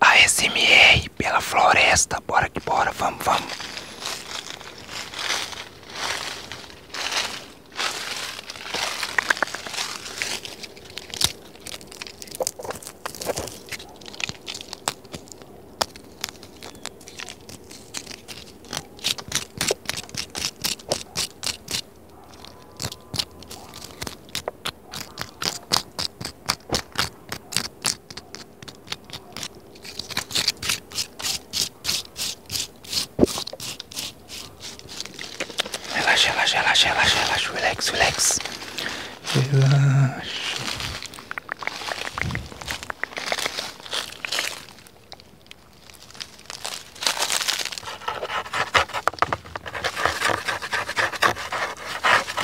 A SMR pela floresta, bora que bora, vamos, vamos. Relaxa, relaxa, relaxa, relaxa, relaxa, relax, relax. Relaxa.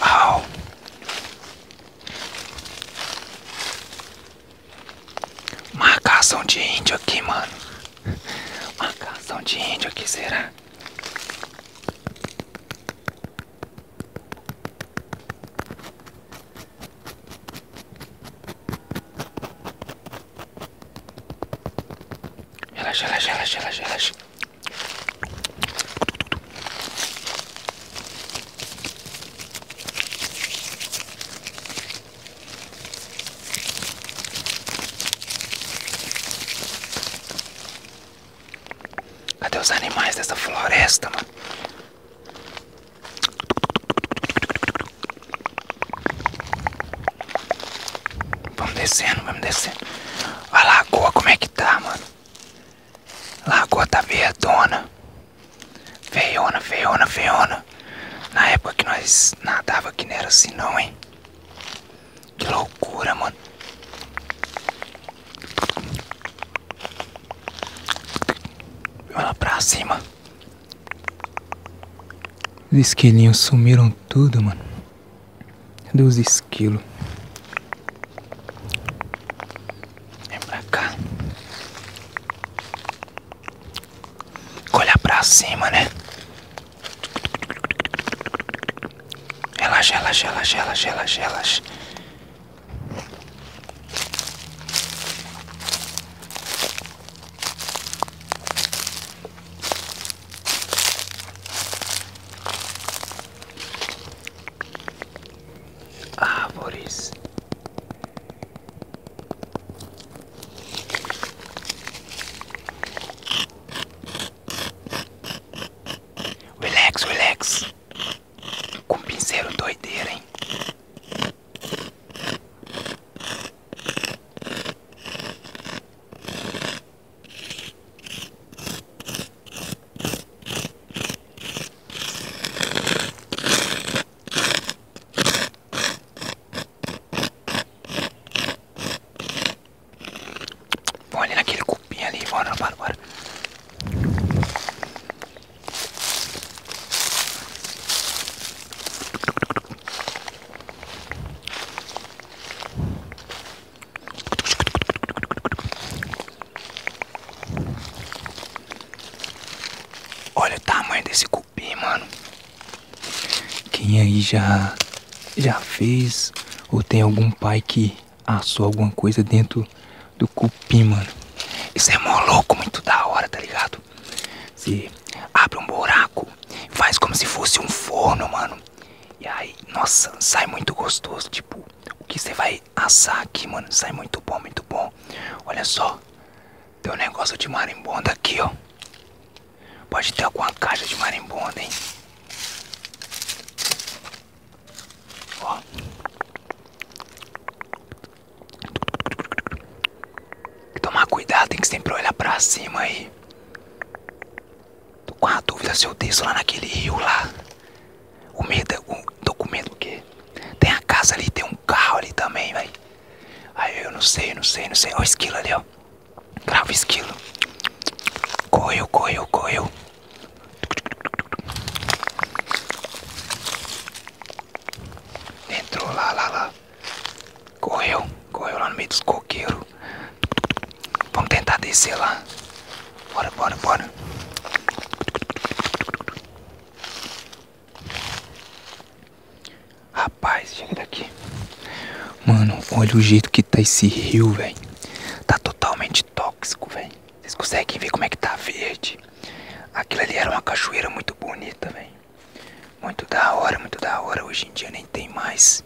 Au. Marcação de índio aqui, mano. Marcação de índio aqui, será? Relaxa, relaxa, relaxa, relaxa, relaxa. Cadê os animais dessa floresta, mano? Vamos descendo, vamos descendo. A lagoa como é que tá, mano? A lagoa tá verdona. Feiona, feiona, feiona. Na época que nós nadava que não era assim não, hein? Que loucura, mano. Olha pra cima. Os esquilinhos sumiram tudo, mano. Deus esquilo, Vem é pra cá. Olhar pra cima, né? Relaxa, relaxa, relaxa, relaxa, relaxa, relaxa. Árvores. Relax, relax. Com pinceiro doideira, hein? Vamos ali naquele cupim ali, bora, bora, bora. Olha o tamanho desse cupim, mano. Quem aí já já fez ou tem algum pai que assou alguma coisa dentro do cupim, mano? Isso é mó louco, muito da hora, tá ligado? se abre um buraco, faz como se fosse um forno, mano. E aí, nossa, sai muito gostoso. Tipo, o que você vai assar aqui, mano? Sai muito bom, muito bom. Olha só, tem um negócio de marimbonda aqui, ó. Pode ter alguma caixa de marimbonda, hein? Ó tomar cuidado, tem que sempre olhar pra cima aí. Tô com a dúvida se eu desço lá naquele rio lá. O medo, é o, tô com medo porque tem a casa ali, tem um carro ali também, velho. Aí eu não sei, não sei, não sei. Ó, o esquilo ali, ó. Grava o esquilo. Correu, correu, correu. Entrou lá, lá, lá. Correu, correu lá no meio dos coqueiros. Vamos tentar descer lá. Bora, bora, bora. Rapaz, chega daqui. Mano, olha o jeito que tá esse rio, velho. Tá totalmente tóxico, velho. Vocês conseguem ver como é que tá verde? Aquilo ali era uma cachoeira muito bonita, velho. Muito da hora, muito da hora. Hoje em dia nem tem mais.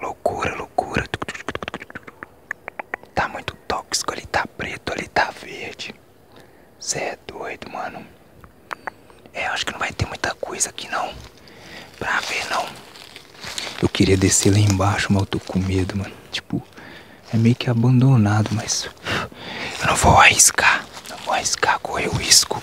Loucura, loucura. Tá muito tóxico, ali tá preto, ali tá verde. Cê é doido, mano. É, acho que não vai ter muita coisa aqui não. Pra ver não. Eu queria descer lá embaixo, mas eu tô com medo, mano. Tipo, é meio que abandonado, mas. Eu não vou arriscar. Não vou arriscar, correr o risco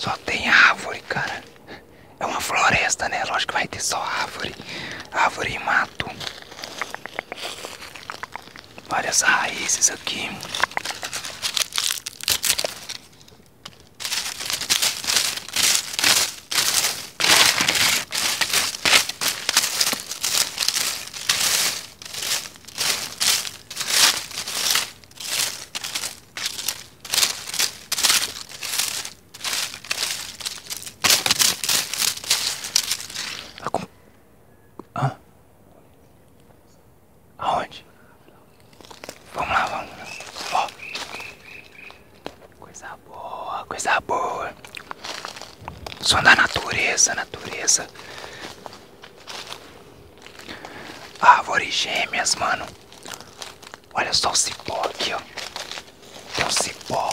Só tem árvore, cara. É uma floresta, né? Lógico que vai ter só árvore. Árvore e mato. Várias raízes aqui. Aonde? Vamos lá, vamos Coisa boa, coisa boa. Som da natureza, natureza. Árvores gêmeas, mano. Olha só o cipó aqui, ó. Tem um cipó.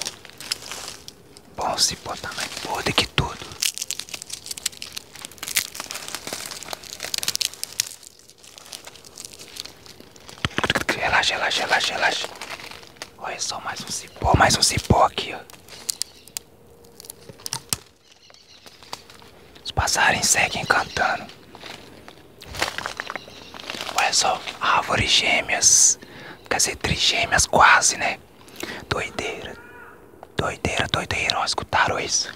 Bom, o cipó tá mais podre que tudo. Relaxa, relaxa, relaxa, relaxa. Olha só, mais um cipó, mais um cipó aqui, Os passarinhos seguem cantando. Olha só, árvores gêmeas. Quer dizer, trigêmeas quase, né? Doideira. Doideira, doideira. Ó, escutaram isso?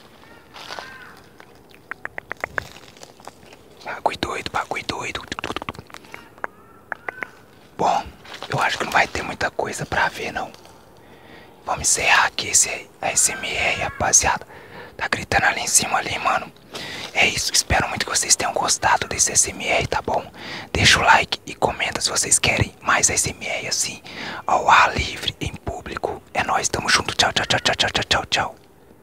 Bagulho doido, bagulho doido. Bom, eu acho que não vai ter muita coisa pra ver, não. Vamos encerrar aqui esse ASMR, rapaziada. Tá gritando ali em cima, ali, mano. É isso, espero muito que vocês tenham gostado desse ASMR, tá bom? Deixa o like e comenta se vocês querem mais ASMR assim, ao ar livre, em público. É nóis, tamo junto, tchau, tchau, tchau, tchau, tchau, tchau, tchau.